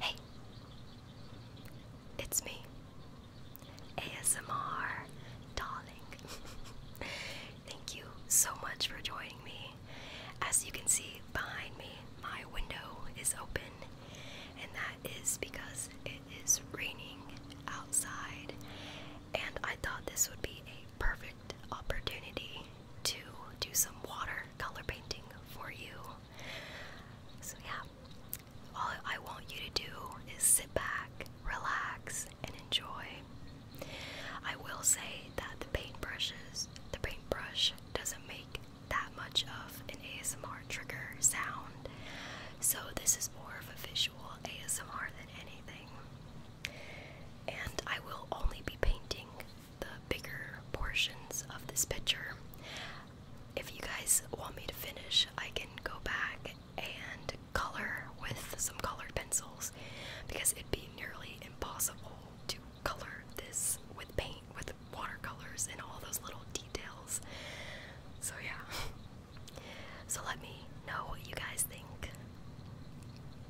Hey, it's me, ASMR Darling. Thank you so much for joining me. As you can see behind me, my window is open, and that is because it is raining outside, and I thought this would be a perfect opportunity to do some water color painting for you. So, yeah, all I want you to do is sit back, relax, and enjoy. I will say that the paintbrushes, the paintbrush doesn't make that much of an ASMR trigger sound, so this is more of a visual ASMR than anything. And I will only be painting the bigger portions of this picture. If you guys want me to finish, I can go back and color with some colored pencils because it'd be nearly impossible to color this with paint, with watercolors, and all those little details. So, yeah. So, let me know what you guys think.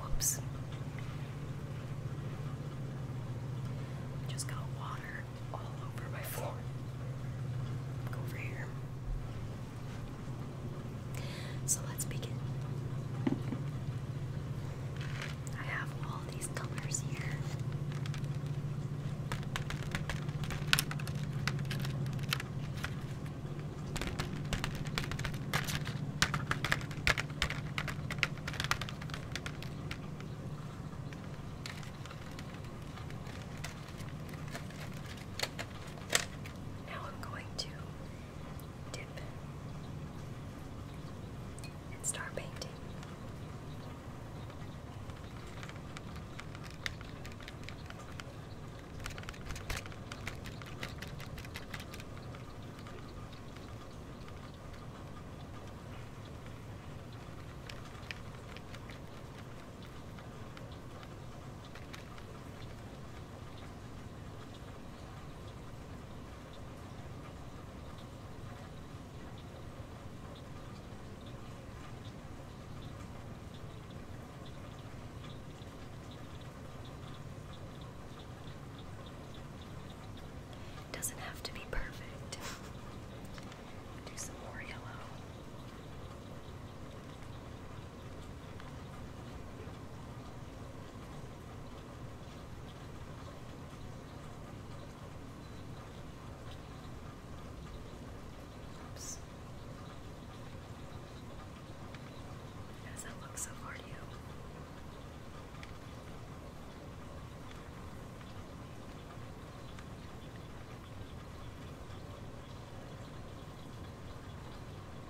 Whoops. Just got water all over my floor. Go over here. So let's begin. I have all these colors here. Now I'm going to and start painting. It doesn't have to be perfect. Do some more yellow. Oops. does that look so hard to you?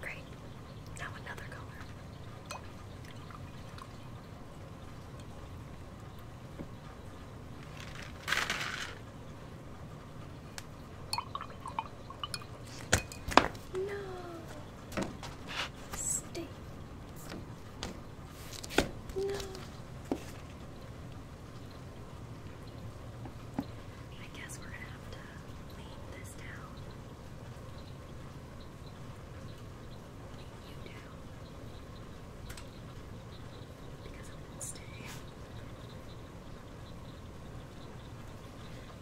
Great. Now another color. No. Stay. No. I guess we're gonna have to clean this down. Clean you down. Because it will stay.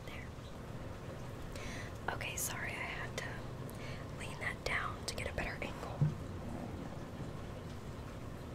There. Okay, sorry, I had to lean that down to get a better angle.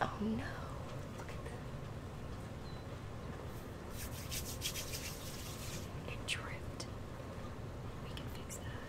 Oh no, look at that. It dripped. We can fix that.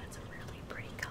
That's a really pretty color.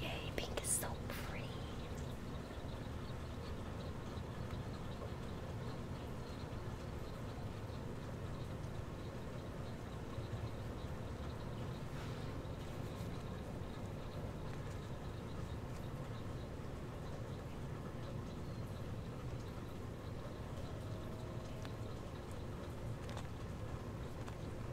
Yay, pink is so pretty.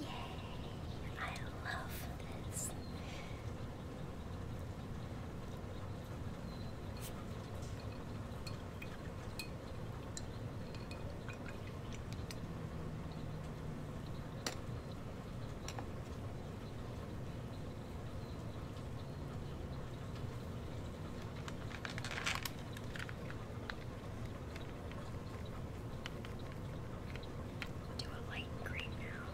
Yay! I love this. Do a light green now.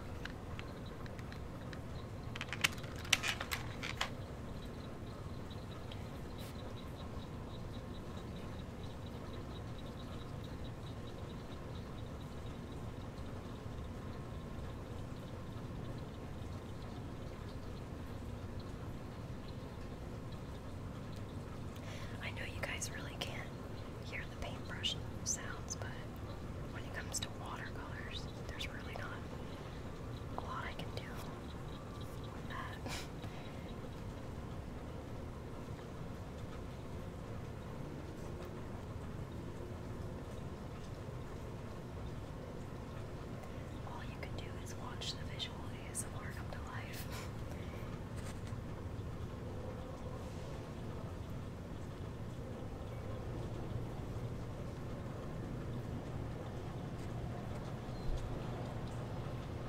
I know you guys really can't hear the paintbrush sounds, but when it comes to watercolors, there's really not a lot I can do with that. All you can do is watch the visual ASMR come to life.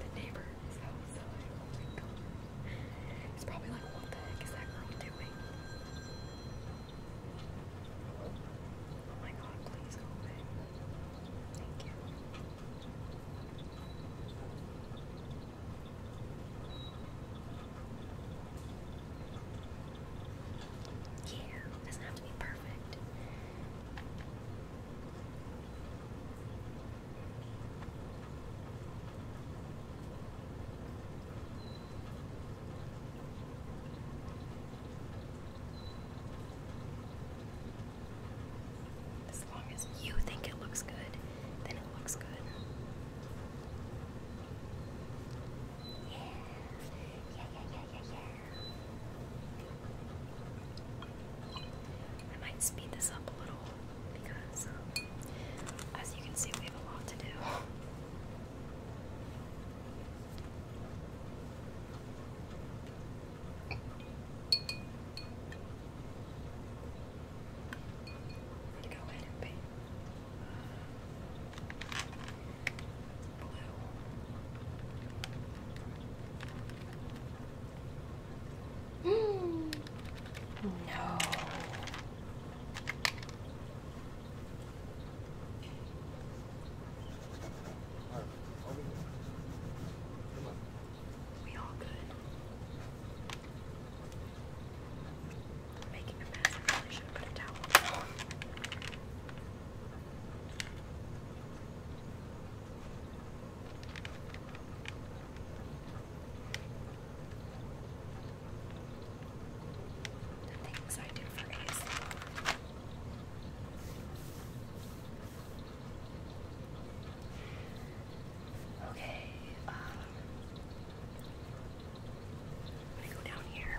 The neighbor is outside. Oh my god. He's probably like, what the heck is that girl doing? Oh my god, please go away. Yeah, doesn't have to be perfect perfect. As long as you think it looks good, then it looks good. yeah, yeah, yeah, yeah, yeah. I might speed this up a little because, um, as you can see, we have a lot to do. I'm go ahead and pay blue. No. We all good. I'm making a mess. really should put a towel the things I do for ASMR. Okay, I'm um, gonna go down here.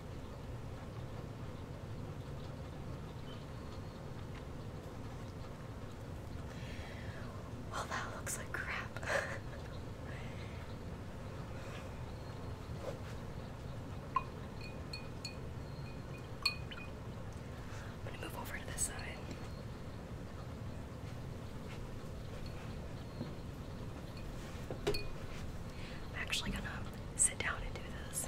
Well, oh, that looks like crap. I'm move over to this side. I'm actually gonna sit down and do this.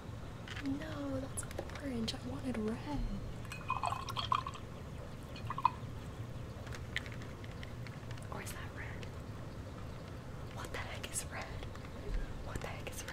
No, that's orange. I wanted red. Or is that red? What the heck is red? What the heck is red?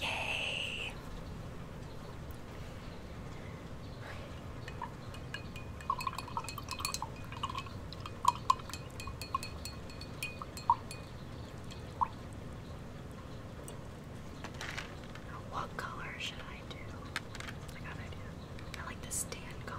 Yay! What color should I do? I got an idea. I like this tan color.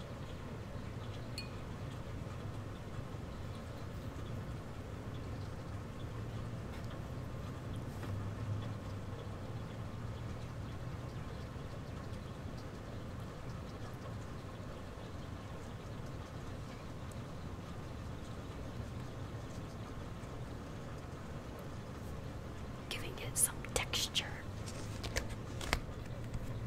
Giving it some texture.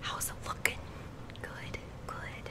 How's it looking? Good, good.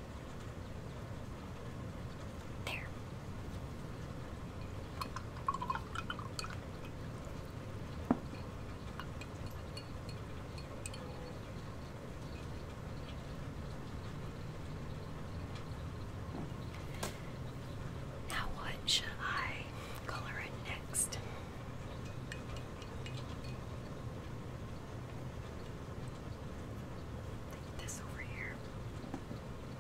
There. Now, what should I color it next? This over here.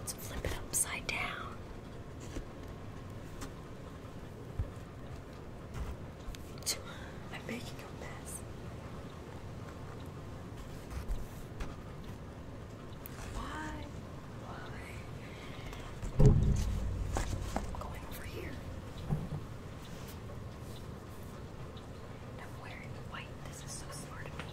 Let's flip it upside down. I'm making a mess. Why? Why? I'm going over here. I'm wearing white. This is so smart of me.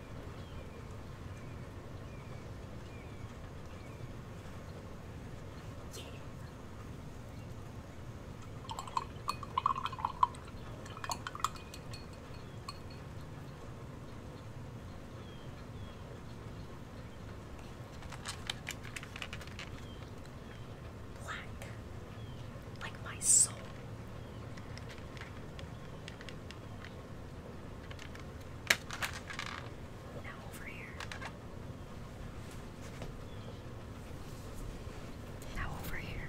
Black, like my soul. Now over here. Now over here.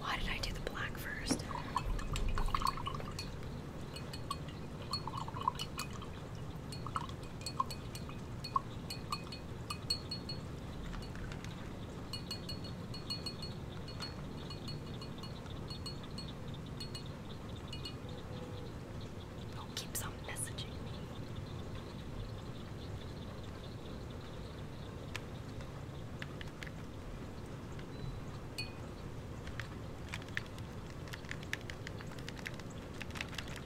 Why did I do the black first? Oh, keeps on messaging me.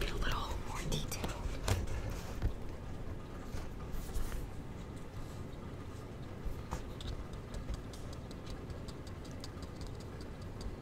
Get a little more detailed.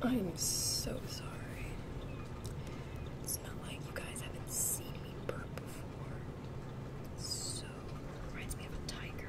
Oh, I'm so sorry. It's not like you guys haven't seen me burp before. so reminds me of a tiger.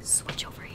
Switch over here.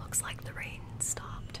Looks like the rain stopped.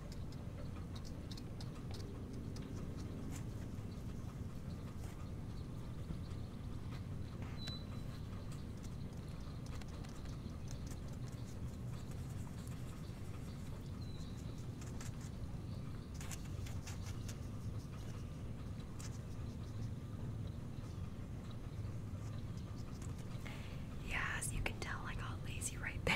Yeah, as you can tell, I got lazy right there.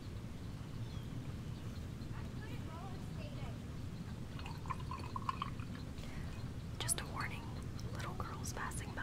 Just a warning, little girls passing by.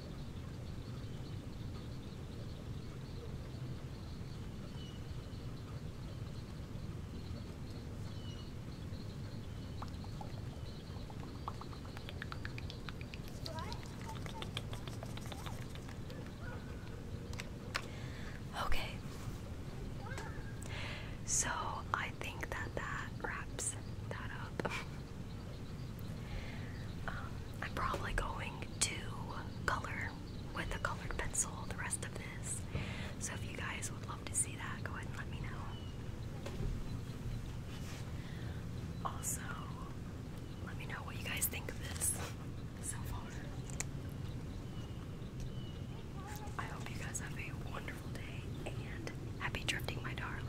Okay. So I think that that wraps that up. Um, I'm probably going to color with a colored pencil the rest of this. So if you guys would love to see that, go ahead and let me know. Also, let me know what you guys think of this so far. I hope you guys have a wonderful day and happy drifting, my darling.